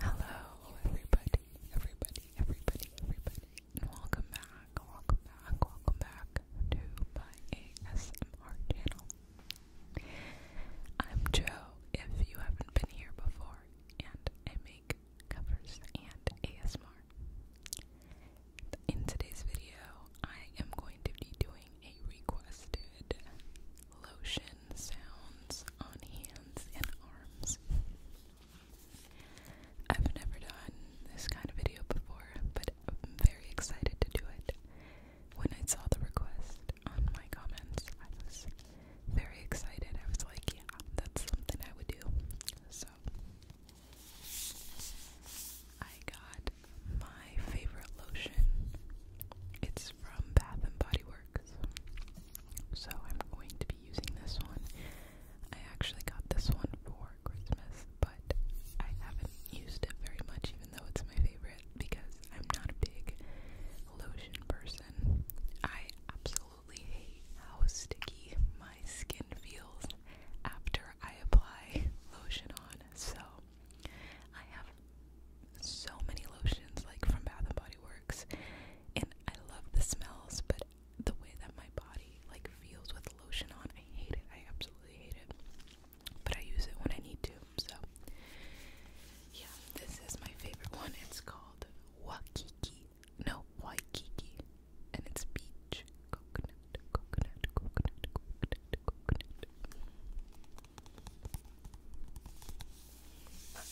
Hello, everybody, everybody, everybody, everybody. Welcome back, welcome back, welcome back to my ASMR channel. I'm Joe, if you haven't been here before, and I covers and ASMR. In today's video, I am going to be doing a requested lotion sounds on hands and arms. I've never done this kind of video before, but I'm very excited to do it. When I saw the request on my comments, I was very excited. I was like, yeah, that's something I would do. So I got my favorite lotion. It's from Bath and Body Works. So I'm going to be using this one. I actually got this one for Christmas, but I haven't used it very much even though it's my favorite because I'm not a big lotion person. I absolutely absolutely hate how sticky my skin feels after I apply lotion on. So I have so many lotions like from Bath and Body Works and I love the smells but the way that my body like feels with lotion on, I hate it. I absolutely hate it. But I use it when I need to. So yeah, this is my favorite one. It's called Wakiki no, Waikiki. And it's beach. Coconut, coconut, coconut, coconut, coconut. I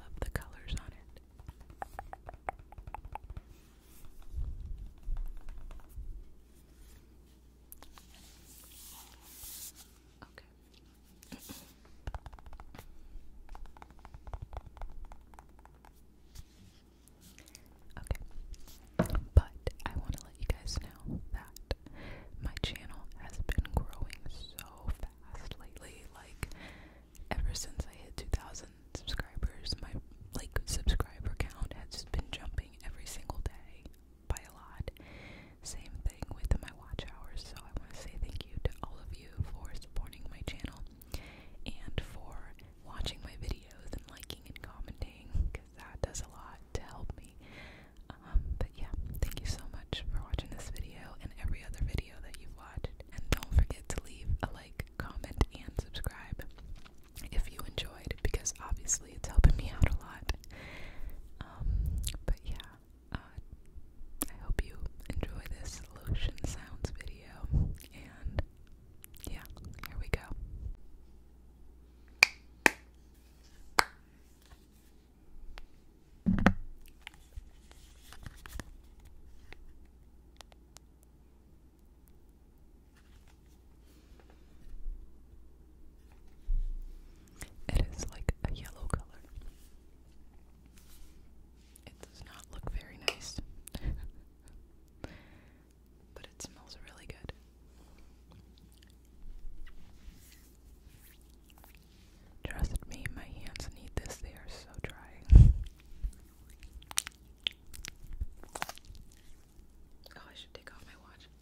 love the colors on it. Okay. Okay. But I want to let you guys know that my channel has been growing so fast lately. Like, ever since I hit 2,000 subscribers, my like subscriber count has just been jumping every single day by a lot. Same thing with my watch hours, so I want to say thank you to all of you for supporting my channel and for watching my videos and liking and commenting because that does a lot to help me. Um, but yeah, thank you so much for watching this video and every other video that you've watched. And don't forget to leave a like, comment, and subscribe if you enjoyed because obviously it's helping me out a lot. Um, but yeah, uh, I hope you enjoy this lotion sounds video, and yeah, here we go. It is like a yellow color. It does not look very nice, but it smells really good. Trust me, my hands need this, they are so dry. Oh, I should take off my watch.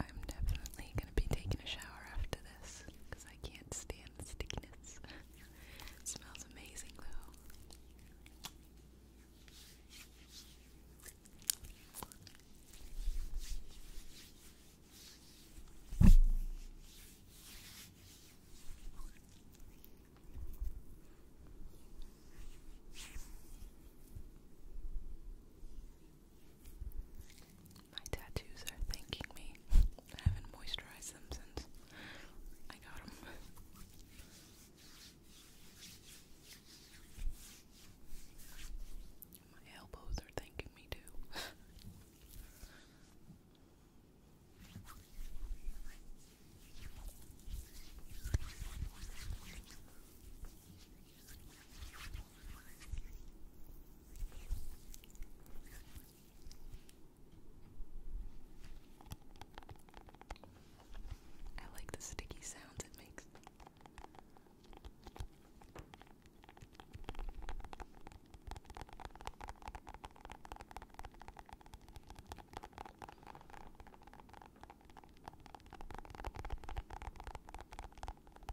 I'm definitely gonna be taking a shower after this because I can't stand the stickiness. smells amazing though. My tattoos are thanking me. haven't moisturized them since I got them. My elbows are thanking me too. I like the sticky sounds it makes.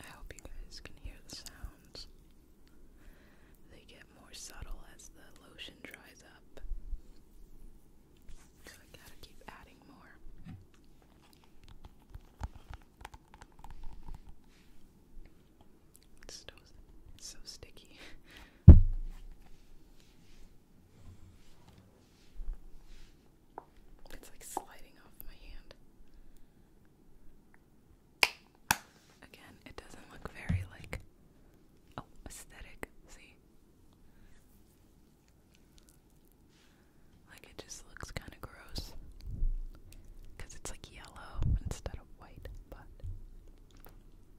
I hope you guys can hear the sounds. They get more subtle as the lotion dries up. So I gotta keep adding more. It's so sticky. It's like sliding off my hand. Again, it doesn't look very like oh, aesthetic, see? Like it just looks kind of gross. Cuz it's like yellow instead of white, but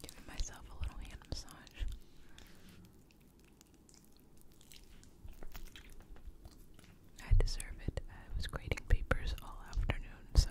Giving myself a little hand massage. I deserve it. I was grading papers all afternoon, so.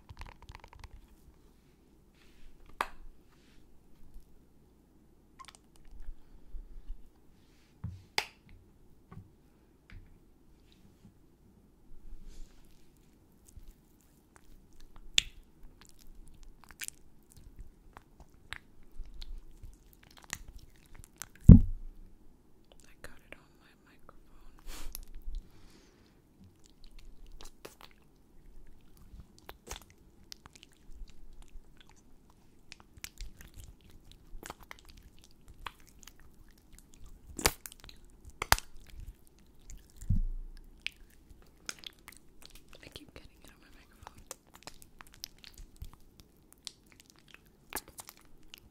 I got it on my microphone. I keep getting it on my microphone.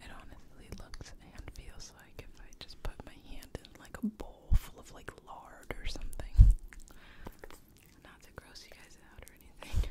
It honestly looks and feels like if I just put my hand in like a bowl full of like lard or something. Not to gross you guys out or anything.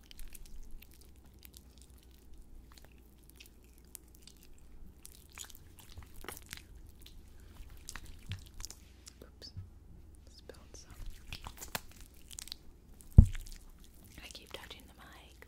Oops. Spilled some. I keep touching the mic.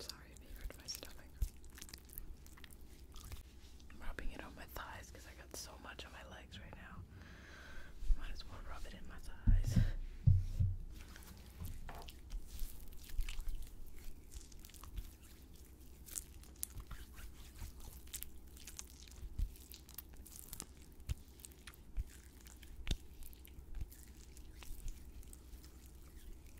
Sorry if you my stomach i rubbing it on my thighs because I got so much on my legs right now. Might as well rub it in my thighs.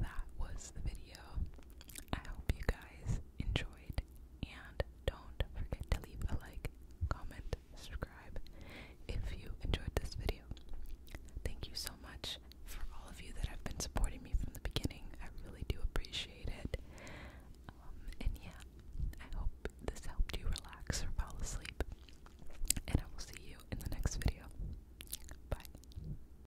that was the video. I hope you guys enjoyed, and don't forget to leave a like, comment, subscribe if you enjoyed this video. Thank you so much for all of you that have been supporting me from the beginning. I really do appreciate it. Um, and yeah, I hope this helped you relax or fall asleep. And I will see you in the next video. Bye.